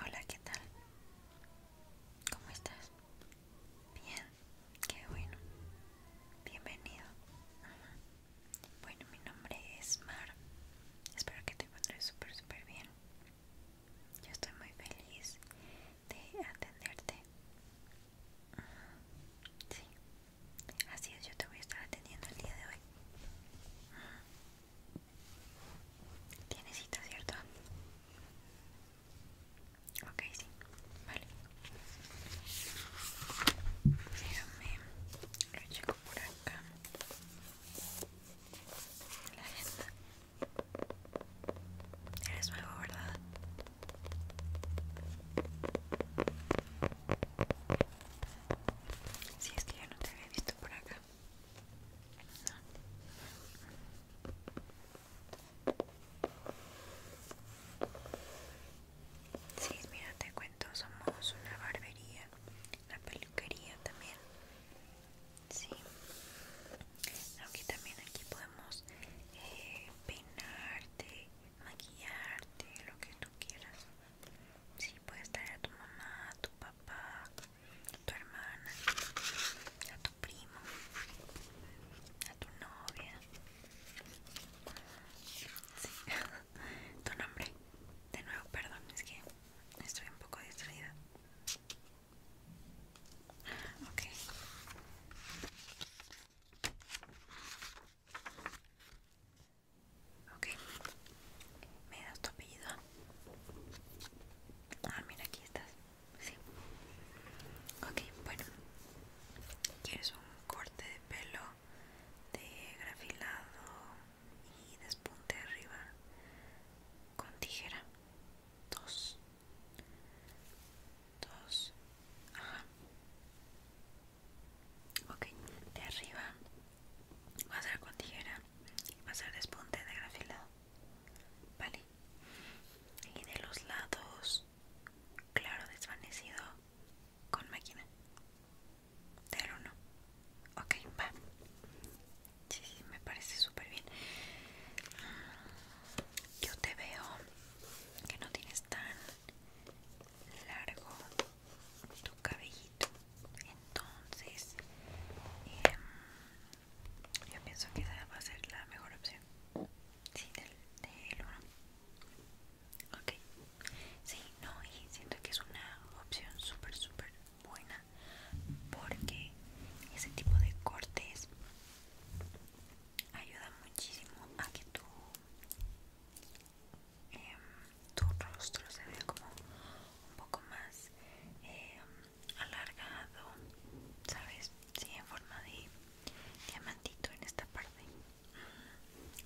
Hola, ¿qué tal? ¿Cómo estás? Bien, qué bueno. Bienvenido. Bueno, mi nombre es Mar. Espero que te encuentres súper, súper bien. Yo estoy muy feliz de atenderte. Sí, así es, yo te voy a estar atendiendo el día de hoy. Tienes cita, ¿cierto? Ok, sí, vale. Déjame, lo checo por acá. La agenda. Eres nuevo, ¿verdad? Si es que yo no te había visto por acá. No. Sí, mira, te cuento, somos una barbería, una peluquería también. Sí, Aquí también aquí podemos eh, peinarte, maquillarte, lo que tú quieras. Sí, puede estar a tu mamá, a tu papá, a tu hermana, a tu primo, a tu novia. Sí. tu nombre. De nuevo, perdón, es que estoy un poco distraída. Ok. ¿Me das tu apellido? Ah, mira, aquí estás. Sí. Ok, bueno. ¿Quieres un corte de pelo de grafilado y despunte arriba con tijera? dos dos ajá ok de arriba va a hacer con tijera y va a hacer despunte de grafilado vale y de los lados claro desvanecido con máquina de uno ok va sí, sí me parece súper bien yo te veo que no tienes tan largo tu cabellito entonces em, yo pienso que esa va a ser la mejor opción sí del, uno ok sí no y siento que es una opción súper súper buena porque ese tipo de cortes ayuda muchísimo a que tu, em, tu rostro se vea como un poco más em, alargado, ¿sabes? Sí, en forma de diamantito en esta parte.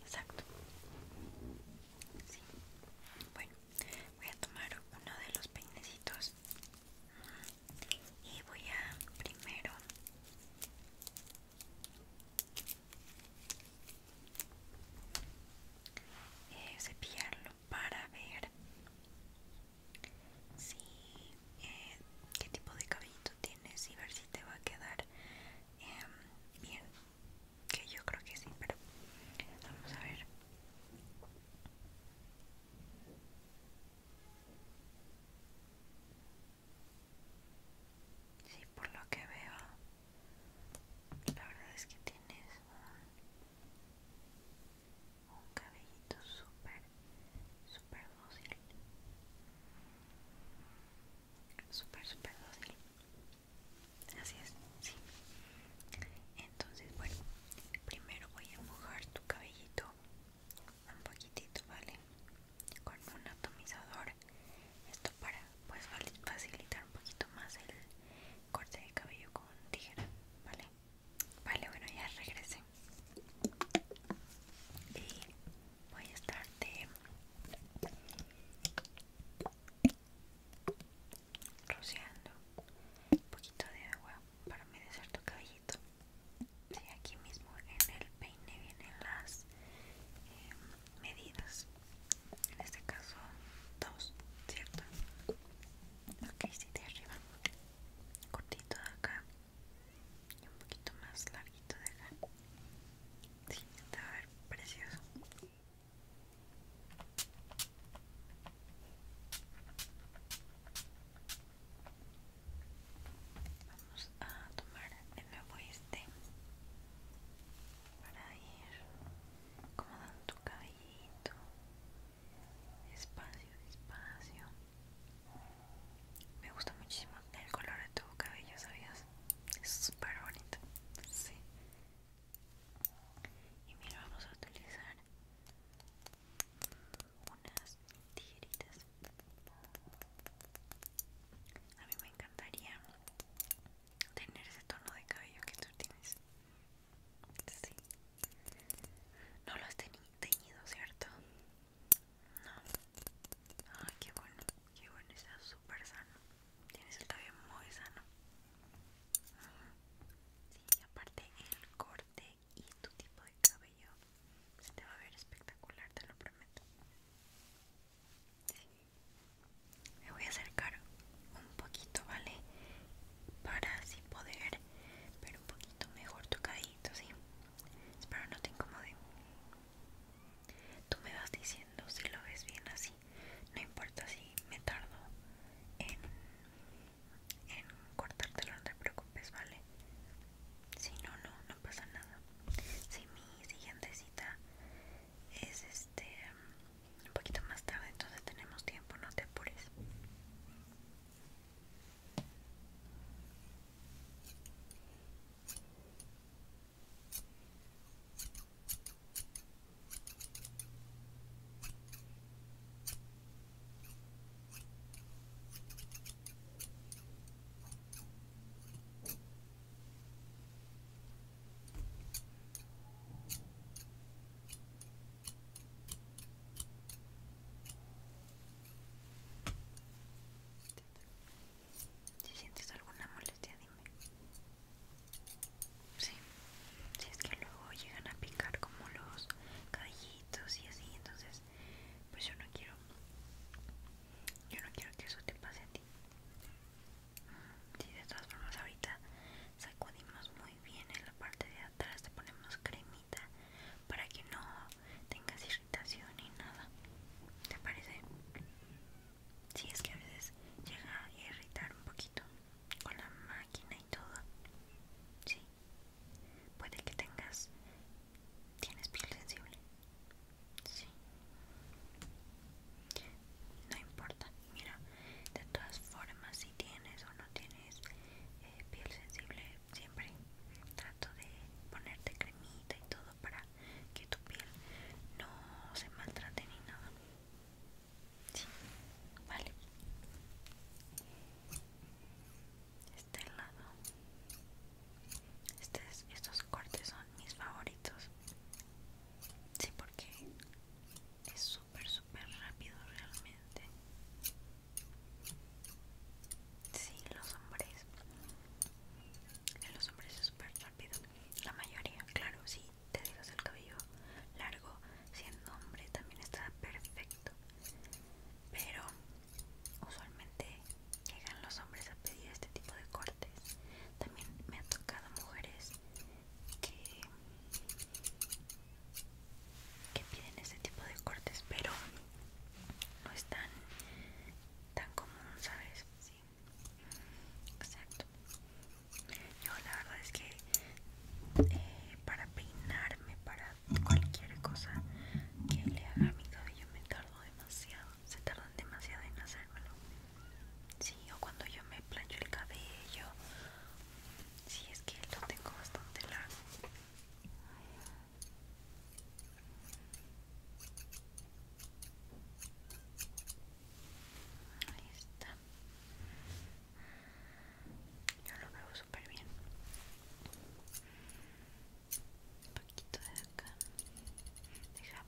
Exacto. Sí. Bueno, voy a tomar uno de los peinecitos y voy a primero eh, cepillarlo para ver si eh, qué tipo de cabellito tienes y ver si te va a quedar em, bien que yo creo que sí pero vamos a ver Sí, por lo que veo, la verdad es que tienes un, cabellito súper, súper dócil. Súper, súper dócil. Así es, sí. Entonces, bueno, primero voy a mojar tu cabellito un poquitito, ¿vale? Con un atomizador. Esto para pues facilitar un poquito más el corte de cabello con tijera, ¿vale? Vale, bueno, ya regresé. Y voy a estar de rociando un poquito de agua para medir tu cabellito. Sí, aquí mismo en el peine vienen las eh, medidas. En este caso, dos, ¿cierto? Ok, si de arriba. Cortito de acá. Y un poquito más larguito de acá. Sí, te va a ver precioso. Vamos a tomar el nuevo este para ir acomodando tu cabellito despacio, despacio. Me gusta muchísimo el color de tu cabello, ¿sabías? Es súper bonito, sí. Y mira, vamos a utilizar unas tijeritas. A mí me encantaría tener ese tono de cabello que tú tienes. Sí. No lo has teñido, ¿cierto? No. Ah, qué bueno, qué bueno, está súper sano. Tienes el cabello muy sano. y aparte el corte y tu tipo de cabello se te va a ver espectacular, te lo prometo. Me voy a acercar un poquito, ¿vale? Para así poder ver un poquito mejor tu cadito, ¿sí? Espero no te incomode. Tú me vas diciendo si lo ves bien así. No importa si me tardo en en cortártelo, no te preocupes, ¿vale? Si no, no, no pasa nada. Si mi siguiente cita es este un poquito más tarde, entonces tenemos tiempo, no te apures. Si sientes alguna molestia, dime. Sí, si es que luego llegan a picar como los gallitos y así entonces pues yo no quiero yo no quiero que eso te pase a ti si de todas formas ahorita sacudimos muy bien en la parte de atrás te ponemos cremita para que no tengas irritación Y nada te parece si sí, es que a veces llega a irritar un poquito con la máquina y todo sí Puede que tengas... ¿Tienes piel sensible? Sí. No importa, mira, de todas formas si tienes o no tienes eh, piel sensible, siempre trato de ponerte cremita y todo para que tu piel no se maltrate ni nada. vale este lado este estos cortes son mis favoritos sí porque es súper súper rápido realmente sí los hombres en los hombres es súper rápido la mayoría claro si te dejas el cabello largo siendo hombre también está perfecto pero usualmente llegan los hombres a pedir este tipo de cortes también me han tocado mujeres que piden este tipo de cortes pero no es tan común sabes sí exacto yo la verdad es que eh, para peinarme para cualquier cosa que le haga a mi cabello me tardo demasiado, se tardan demasiado en hacerlo Sí, o cuando yo me plancho el cabello, si es que lo tengo bastante largo. Ahí está. Yo lo veo súper bien. Un poquito de acá. Deja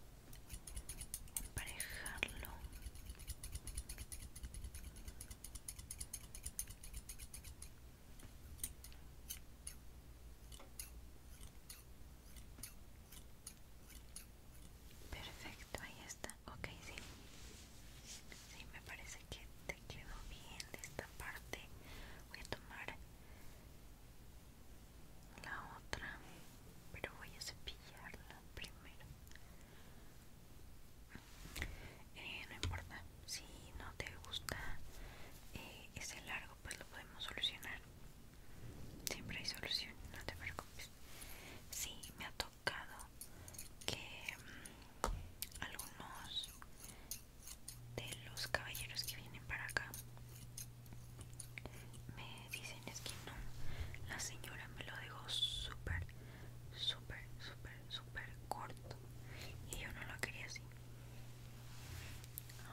emparejarlo. Perfecto, ahí está. okay sí. Sí, me parece que te quedó bien de esta parte voy a tomar la otra pero voy a cepillarla primero eh, no importa si no te gusta eh, ese largo pues lo podemos solucionar siempre hay solución no te preocupes si sí, me tocado que mm, algunos de los caballeros que vienen para acá me dicen es que no la señora me lo dejó súper súper súper súper corto y yo no lo quería así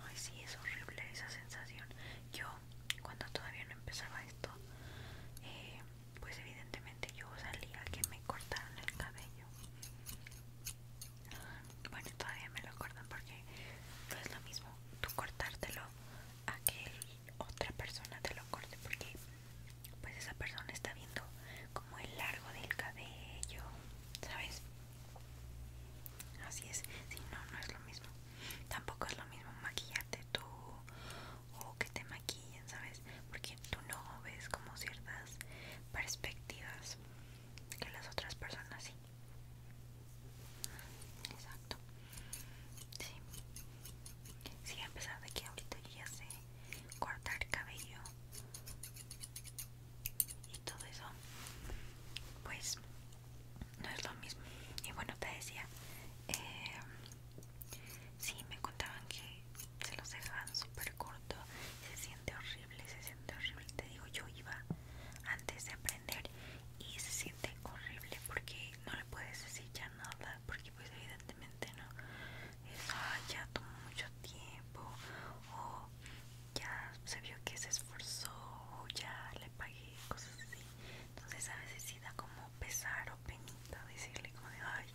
ay sí es horrible esa sensación yo cuando todavía no empezaba esto eh, pues evidentemente yo salía que me cortaron el cabello bueno todavía me lo cortan porque no es lo mismo tú cortártelo a que otra persona te lo corte porque pues esa persona está viendo como el largo del cabello sabes así es si no no es lo mismo tampoco es lo mismo maquillarte tú o que te maquillen sabes porque tú no ves como ciertas perspectivas que las otras personas sí. Exacto. Sí. Sí, a pesar de que ahorita ya sé cortar cabello y todo eso, pues no es lo mismo. Y bueno, te decía, eh, Sí, me contaban que se los dejaban súper corto. Se siente horrible, se siente horrible. Te digo, yo iba antes de aprender y se siente horrible porque no le puedes decir ya nada. Porque, pues, evidentemente, no es ya tomó mucho tiempo o ya se vio que se esforzó o ya le pagué, cosas así. Entonces, a veces sí da como pesar o penita decirle, como de ay,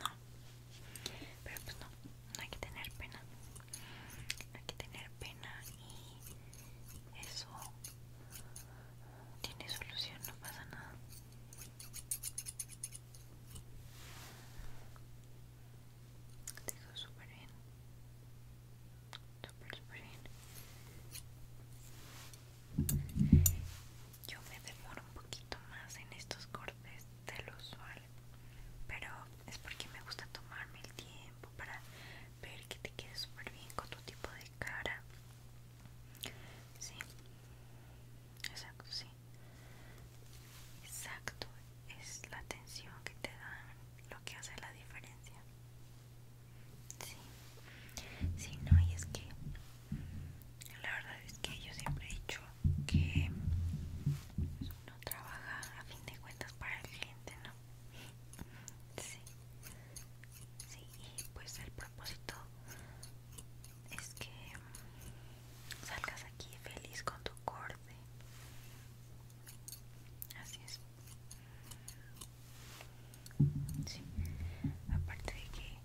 no, pero pues no, no hay que tener pena. No hay que tener pena y eso tiene solución, no pasa nada. Te digo súper bien. Súper, súper bien yo me demoro un poquito más en estos cortes de lo usual pero es porque me gusta tomarme el tiempo para ver que te quede súper bien con tu tipo de cara sí exacto sí exacto es la atención que te dan lo que hace la diferencia sí sí no y es que la verdad es que yo siempre he dicho que uno trabaja a fin de cuentas para el cliente, ¿no? Sí. Sí, y pues el propósito es que salgas aquí feliz con tu corte. Así es. Sí. Aparte de que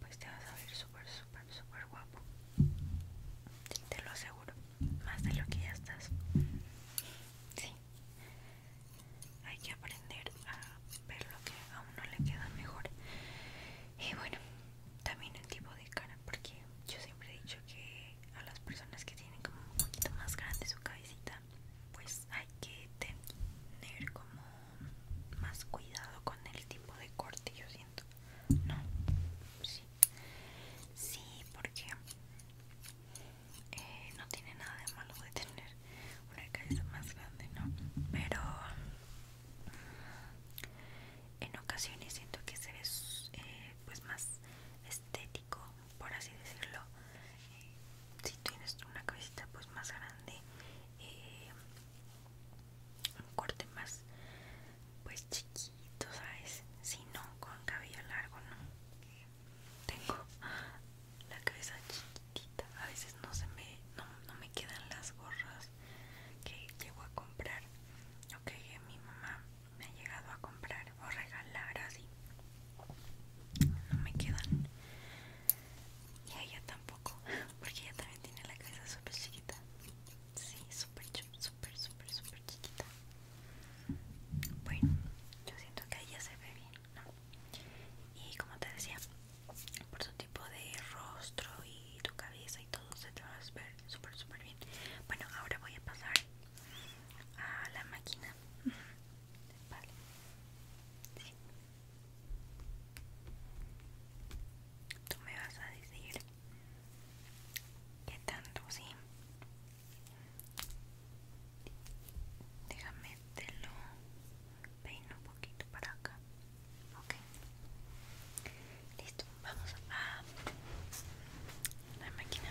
pues te vas a ver súper, súper, súper guapo. te lo aseguro. Más de lo que ya estás. Sí. Hay que aprender a ver lo que a uno le queda mejor. Y bueno, también el tipo de cara, porque yo siempre he dicho que a las personas que tienen como un poquito más grande su cabecita, pues hay que tener como más cuidado con el tipo de corte yo siento no sí sí porque eh, no tiene nada de malo de tener una cabeza más grande no pero en ocasiones siento que se ve eh, pues más estético por así decirlo eh, si tienes una cabecita pues más grande un corte más pues chiquito sabes si no con cabello largo no tengo la cabeza chiquitita a veces no se me no, me quedan las gorras que llego a comprar o que mi mamá me ha llegado a comprar o regalar así no me quedan y a ella tampoco, porque ella también tiene la cabeza súper chiquita. Sí, súper, súper, súper, súper chiquita. Bueno, yo siento que ella se ve bien, ¿no? Y como te decía, por su tipo de rostro y tu cabeza y todo se te va a ver súper, súper bien. Bueno, ahora voy a pasar a la máquina. Vale. Sí. Tú me vas a decir qué tanto, sí. Déjame te lo peino un poquito para acá. Ok. Listo, vamos a la máquina.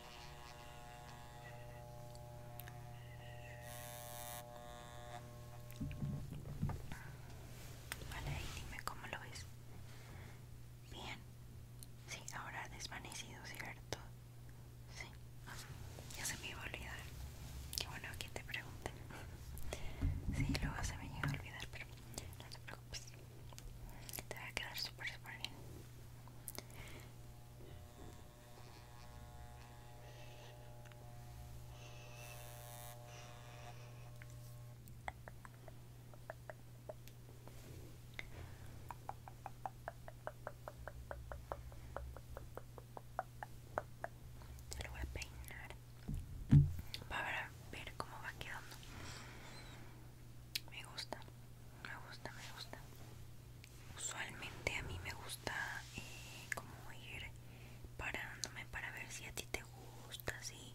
Vale, ahí dime cómo lo ves. Bien. Sí, ahora desvanecido, ¿cierto? Sí. ya se me iba a olvidar. Qué bueno que te pregunte. Sí, luego se me iba a olvidar, pero no te preocupes. Te va a quedar súper, súper bien. Te voy a peinar para ver cómo va quedando. Me gusta, me gusta, me gusta usualmente a mí me gusta eh, como ir parándome para ver si a ti te gusta, sí.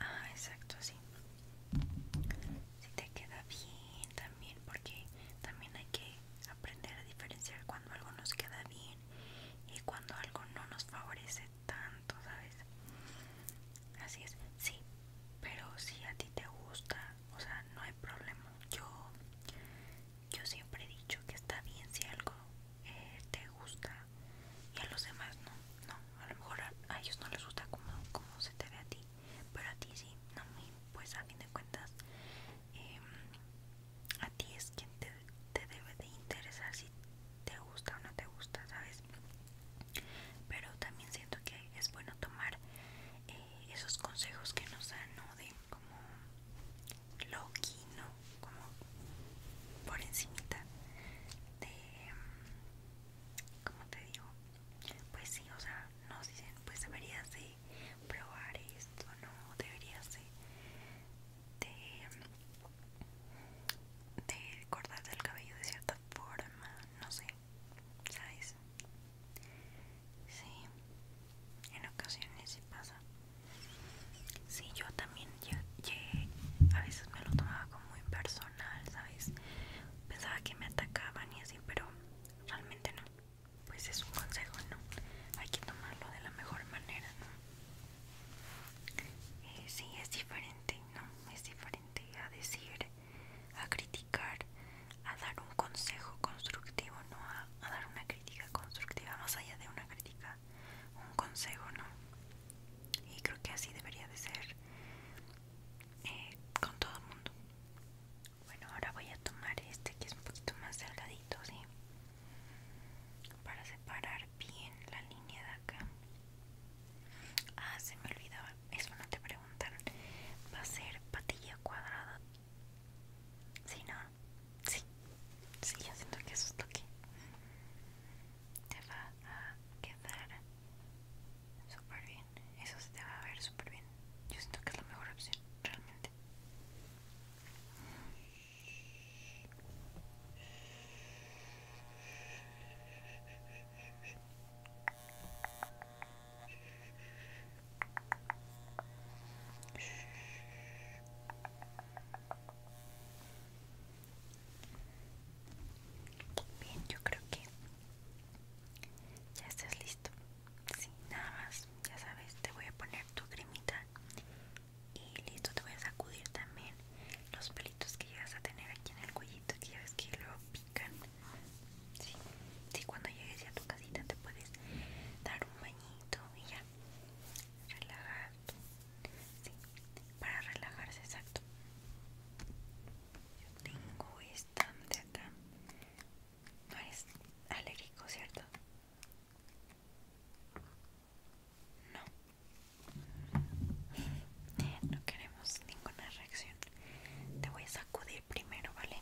Ah, exacto, sí. Si te queda bien también, porque también hay que aprender a diferenciar cuando algo nos queda bien y cuando algo no nos favorece tanto, ¿sabes? Así es, sí. Pero si a ti te gusta o sea, no hay problema. Yo, yo siempre he dicho que está bien si algo eh, te gusta y a los demás no, a lo mejor a, ellos no les gusta como, se te ve a ti, pero a ti sí, pues a fin de cuentas, em, a ti es quien te, te debe de interesar si te gusta o no te gusta, ¿sabes? Pero también siento que es bueno tomar eh, esos consejos que nos dan, ¿no? De como Loki, ¿no? Como por encimita de... ¿Cómo te digo? Pues sí, o sea, nos dicen, pues deberías de probar esto, ¿no? Deberías de... de, de cortarte el cabello de cierta forma, no sé, ¿sabes? Sí, en ocasiones sí pasa. Sí, yo también a veces me lo tomaba como impersonal, ¿sabes? Pensaba que me atacaban y así, pero realmente no. Pues es un consejo, ¿no? Hay que tomarlo de la mejor manera, ¿no? Eh, sí, es diferente, ¿no? Es diferente a decir a criticar, a dar un consejo constructivo, no a, dar una crítica constructiva, más allá de una crítica, un consejo, ¿no? Y creo que así debería de ser eh, con todo el mundo. Bueno, ahora voy a tomar este que es un poquito más delgadito, ¿sí? Para separar bien la línea de acá. Ah, se me olvidaba. Eso no te pregunto. ¿va a ser patilla cuadrada? Sí, no, sí, sí, yo siento que eso es lo que te va a quedar súper bien. Eso se te va a ver súper bien. Yo siento que es la mejor opción, realmente. Bien, yo creo que ya estás listo. Sin nada más, ya sabes, te voy a poner tu cremita y listo, te voy a sacudir también los pelitos que llegas a tener aquí en el cuellito, que ya ves que lo... Si cuando llegues ya a tu casita te puedes dar un bañito y ya. Relajarte. para relajarse, exacto. Yo tengo esta de acá. No eres alérgico, ¿cierto? No. No queremos ninguna reacción. Te voy a sacudir primero, ¿vale?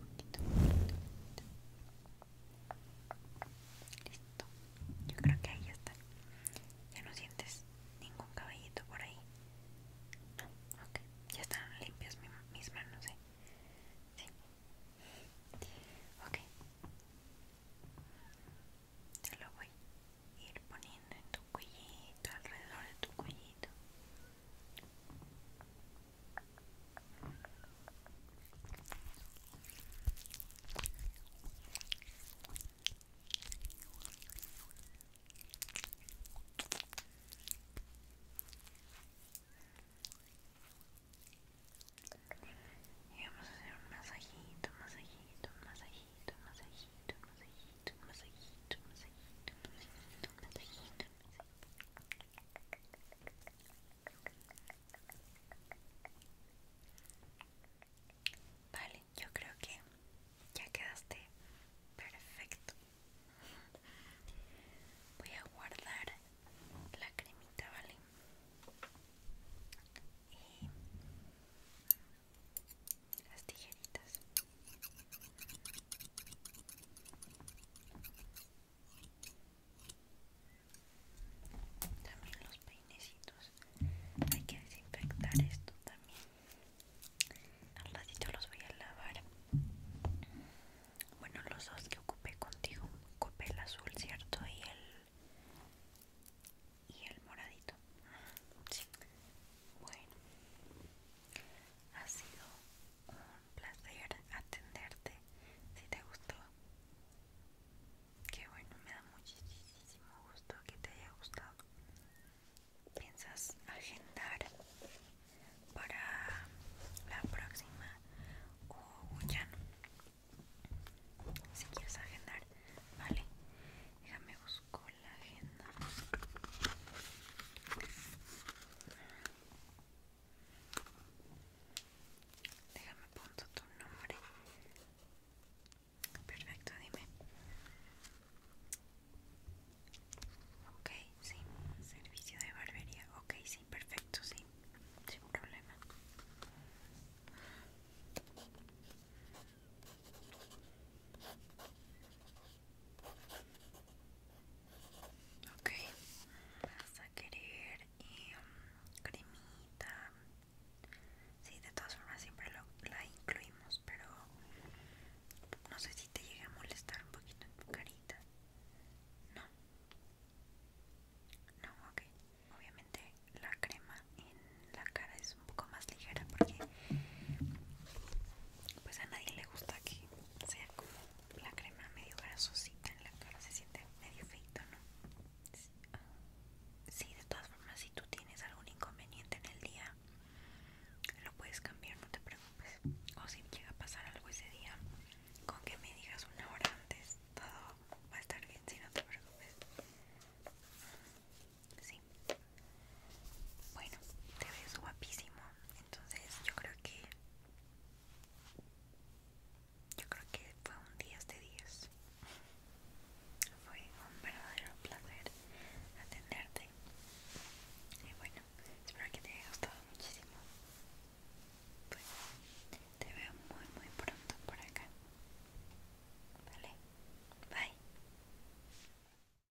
poquito, Listo. Yo creo que ahí ya está. Ya no sientes ningún caballito por ahí. Ah, ya están limpias mis manos, ¿eh? Sí. Ok. Te lo voy a ir poniendo en tu cuellito, alrededor de tu cuellito. Y vamos a hacer un masajito, masajito, masajito, masajito, masajito, masajito, masajito, masajito. Vale, yo creo que ya quedaste perfecto. Voy a guardar la cremita, ¿vale? Y las tijeritas. También los peinecitos. Hay que desinfectar esto también. Al ratito los voy a lavar. Bueno, los dos que ocupé contigo. Ocupé el azul, ¿cierto? Y el. Y el moradito. Sí. Bueno. Ha sido un placer atenderte. Si te gustó, que bueno, me da muchísimo gusto que te haya gustado. ¿Piensas agendar para la próxima o ya no? Si quieres agendar, vale. Déjame buscar la agenda Déjame apunto tu nombre. Perfecto, dime. Ok, sí. Servicio de barbería. Ok, sí, perfecto, sí. Sin problema. Ok, vas a querer em, cremita. Sí, de todas formas siempre la incluimos, pero no sé si te llega a molestar un poquito en tu carita. No. No, ok. Obviamente la crema en la cara es un poco más ligera porque pues a nadie le gusta que sea como la crema medio grasosita en la cara, se siente medio feito, ¿no? Sí, de todas formas, si tú tienes algún inconveniente en el día, lo puedes cambiar, no te preocupes. O si llega a pasar algo ese día, con que me digas una hora antes, todo va a estar bien, si no te preocupes. Sí. Bueno, te ves guapísimo. Entonces yo creo que... Yo creo que fue un día de 10. Fue un verdadero placer atenderte. Y bueno, espero que te haya gustado muchísimo. Pues te veo muy muy pronto por acá. Vale, bye.